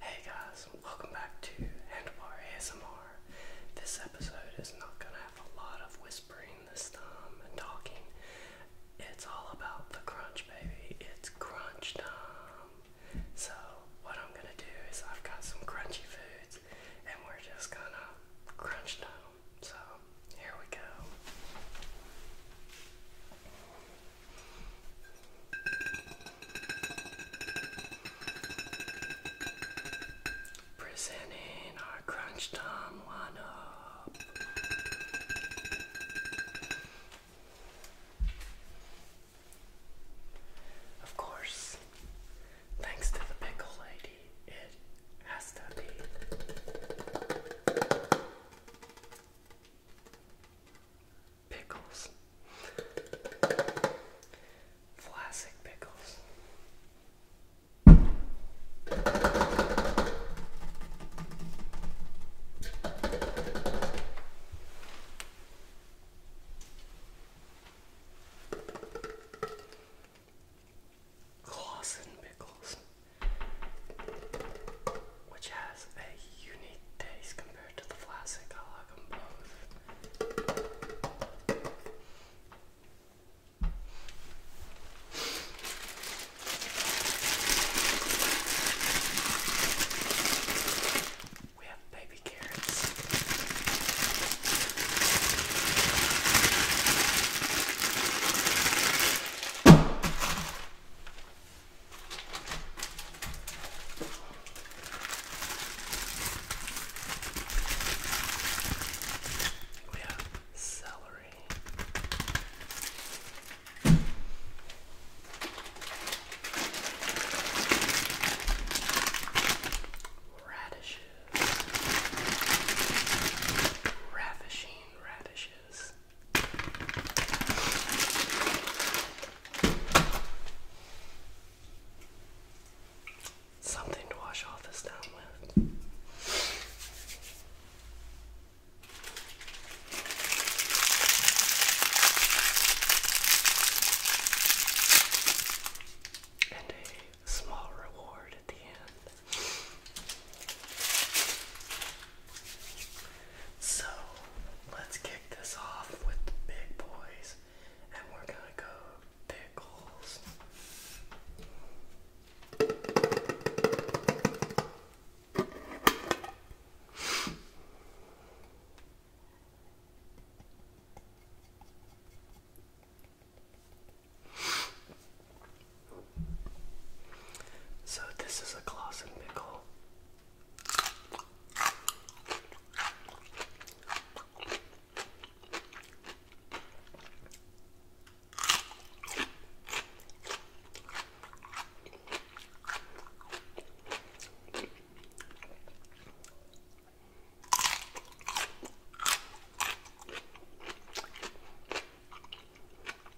Hey guys, welcome back to Handlebar ASMR. This episode is not going to have a lot of whispering this time and talking. It's all about the crunch, baby. It's crunch time. So, what I'm going to do is I've got some crunchy foods and we're just going to crunch down so here we go. Presenting our crunch time lineup. Of course, thanks to the pickle lady, it has to be Pickles. Classic pickles. Clausen pickles, which has a unique taste compared to the classic. We have baby carrots. We have celery. Radishes, ravishing radishes. Something to wash all this down with. And a small reward at the end. So let's kick this off with the big boys, and we're gonna go pickles. So this is a Clausen pickle.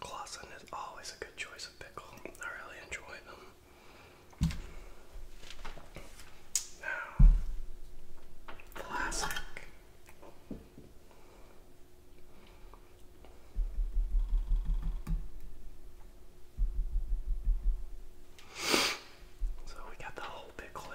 Clausen is always a good choice of pickle. I really enjoy them. Now, classic. So we got the whole bit clear.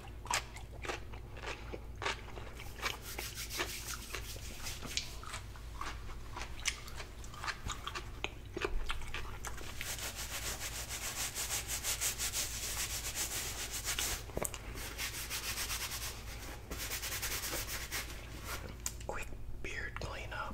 Quick beard cleanup.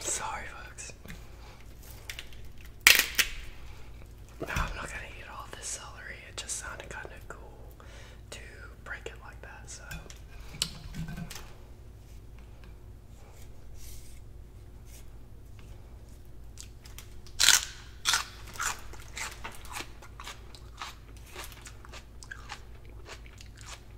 Sorry, folks. Oh, I'm not gonna eat all this celery. It just sounded kind of cool to break it like that, so.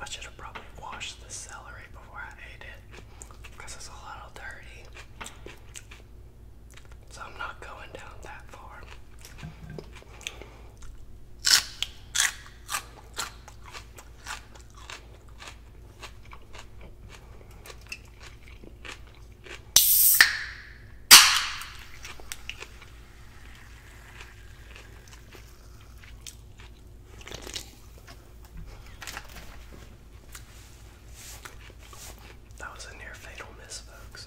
I should have probably washed the celery before I ate it because it's a little dirty. So I'm not going down that far. That was a near fatal miss, folks.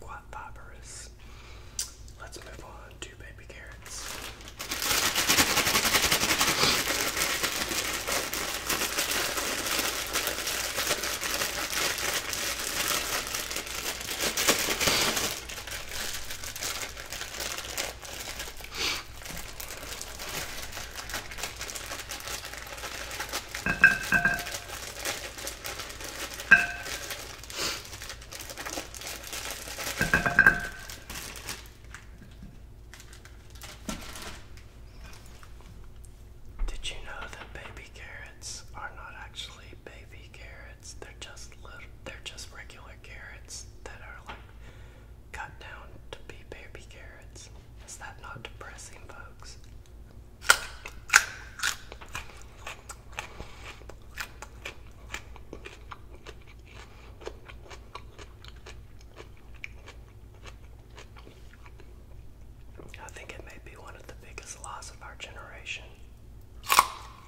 Quite fibrous. Let's move on to baby carrots. Did you know that baby carrots are not actually baby carrots? They're just little, they're just regular carrots that are like cut down to be baby carrots. Is that not depressing, folks? I think it may be one of the biggest loss of our generation.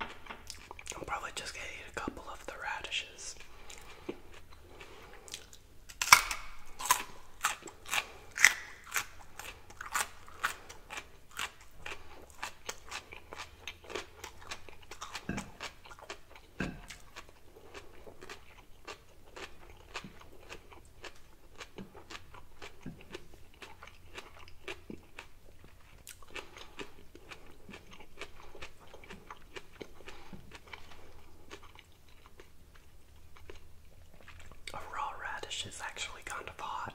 I'm probably just gonna eat a couple of the radishes. A raw radish is actually kind of hot.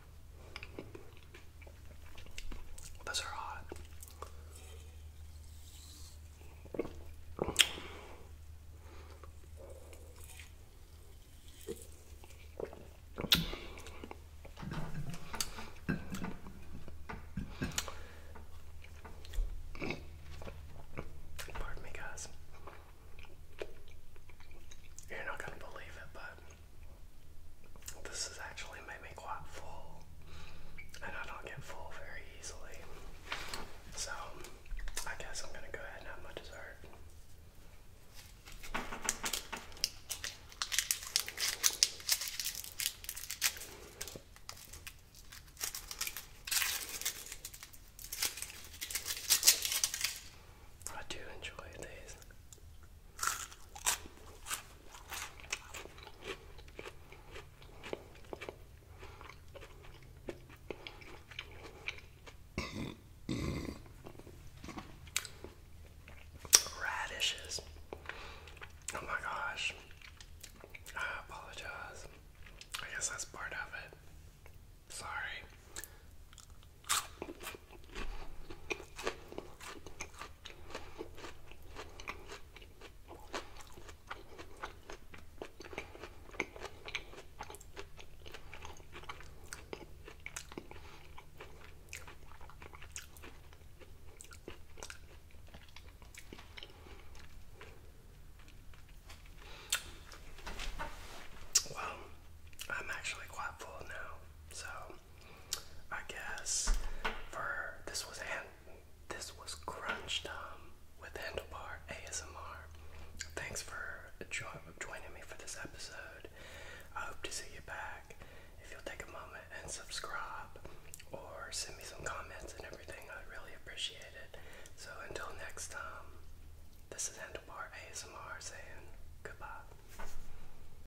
Those are hot. Pardon me, guys. You're not gonna believe it, but this has actually made me quite full, and I don't get full very easily. So, I guess I'm gonna go ahead and have my dessert. I do enjoy these. Radishes. Oh my gosh. I apologize. I guess that's part of it. Sorry. Well, I'm actually quite full now, so I guess for this was this was crunch with handlebar ASMR. Thanks for joining me for this episode. I hope to see you back. If you'll take a moment and subscribe or send me some comments and everything, I'd really appreciate it. So until next time, this is Handlebar ASMR saying goodbye.